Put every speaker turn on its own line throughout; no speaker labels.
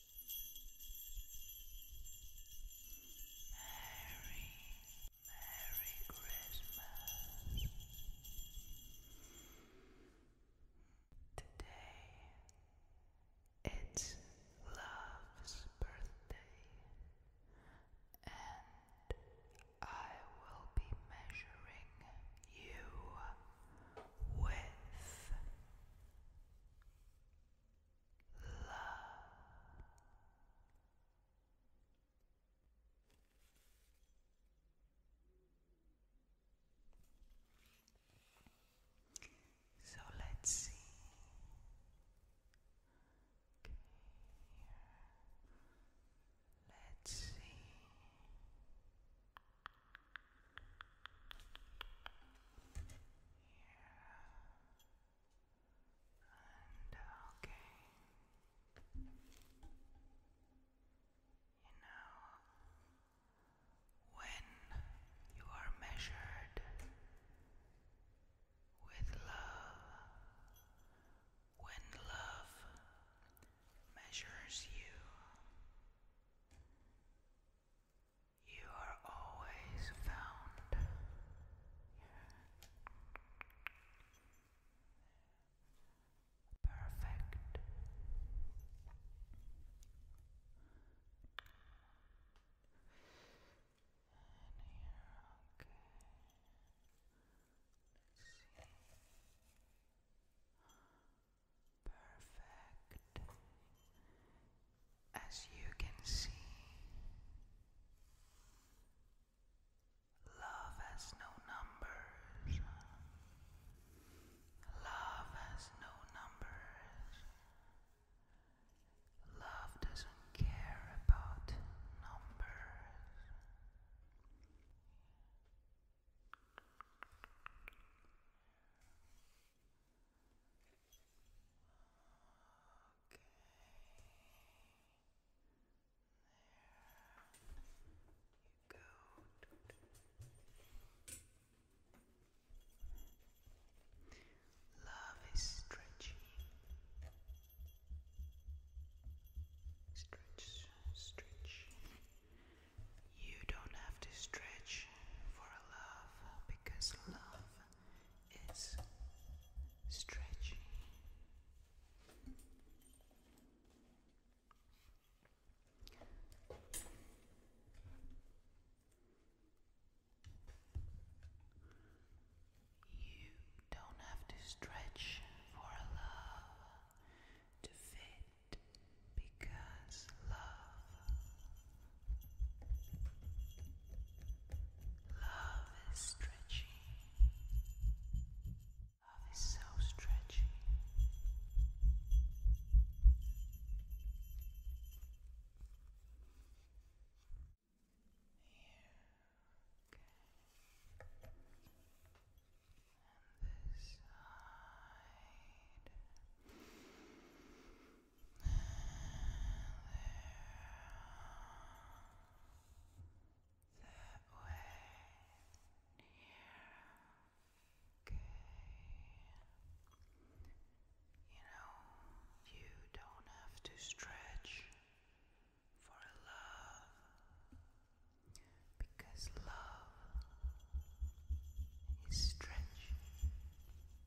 Merry, Merry Christmas. Today it's Love's birthday, and I will be measuring you with so let's see. Let's see. Here. And okay, you know, when you are measured with love, when love measures you, you are always found. Perfect. Perfect. As you can see, love has no numbers. Love has no numbers. Love doesn't care about numbers. Okay. There you go. Love is stretching. Stretch, stretch. You don't have to stretch for love because love it's stretchy. You don't have to stretch for love to fit because love Love is stretchy. Love is so stretchy. Here, And this side. That way. Yeah. Okay. You know, you don't have to stretch for love because love is stretching.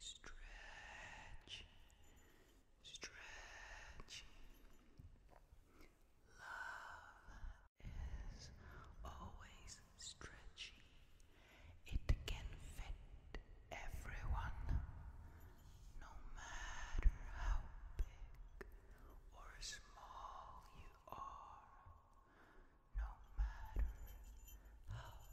stretch, stretch. Love is always stretchy. It can fit everyone, no matter how big or small you are, no matter how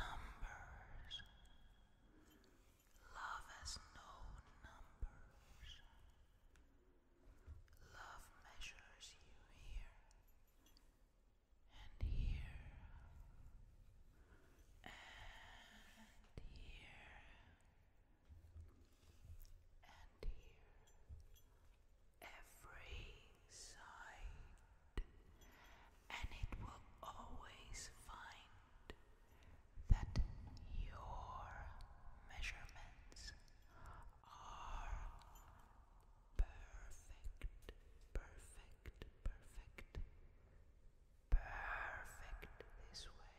numbers. Love has no numbers. Love measures you here and here and here and here. Every side and it will always find that your measurements are perfect, perfect, perfect, perfect this way,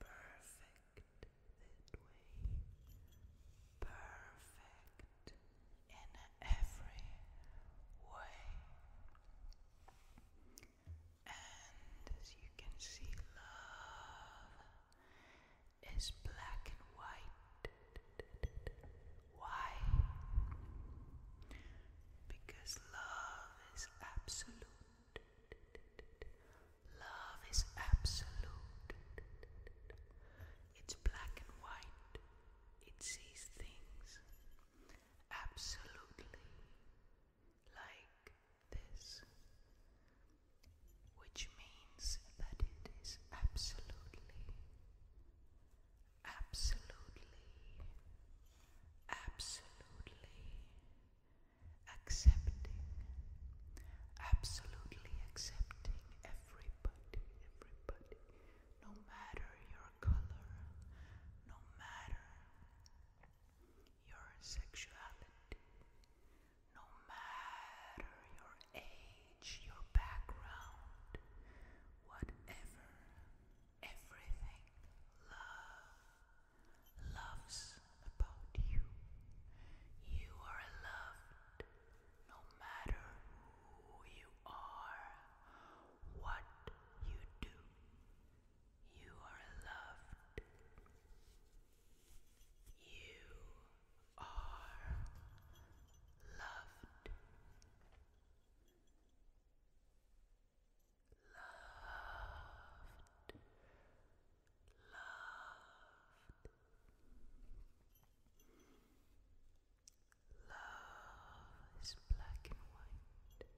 perfect that way, perfect in every way. And as you can see, love is black and white. Why? Because love is absolute. Love is absolute. It's black and white. It sees things absolutely like this, which means that it is absolutely, absolutely, absolutely accepting, absolutely accepting everybody, everybody, no matter your color, no matter your sexuality, no matter your age, your background, whatever, everything love loves about you. You are loved no matter who you are, what you do, you are loved. You are loved. Loved. Loved. Love is black and white.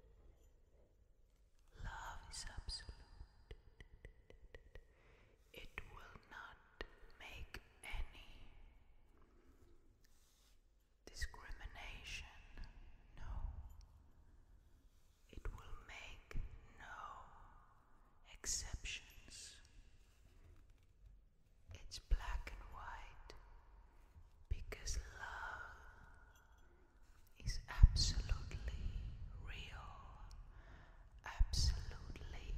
Love is absolute. It will not make any discrimination. No. It will make no exceptions. It's black and white because love is absolutely real, absolutely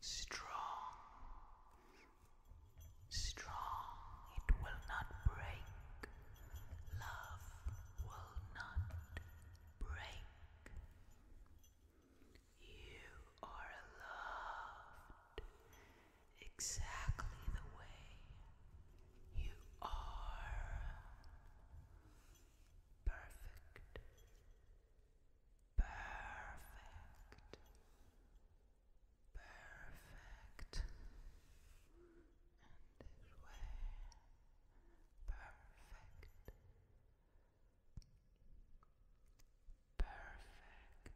strong, strong. It will not break. Love will not break. You are loved exactly the way you are. Perfect. Perfect. Perfect. And this way. Perfect. Perfect.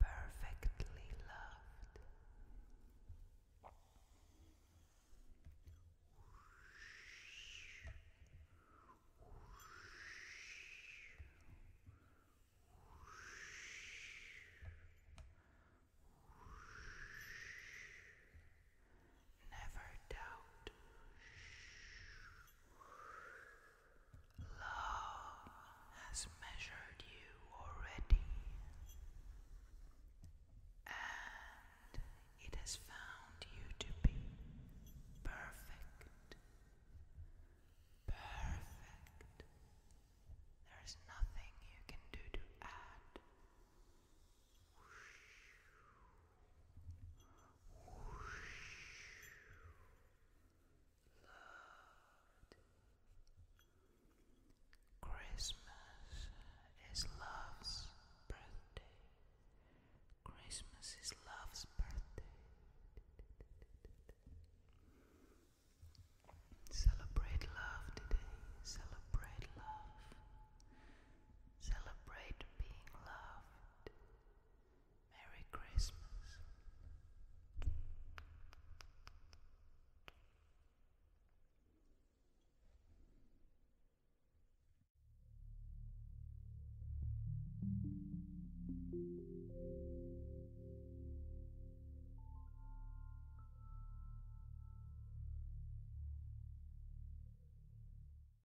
Perfectly loved. Never doubt. Love has measured you already, and it has found you to be perfect. Perfect. There is nothing you can do to add. Christmas is love's birthday. Christmas is love's birthday. Celebrate love today. Celebrate love. Celebrate being loved. Merry Christmas.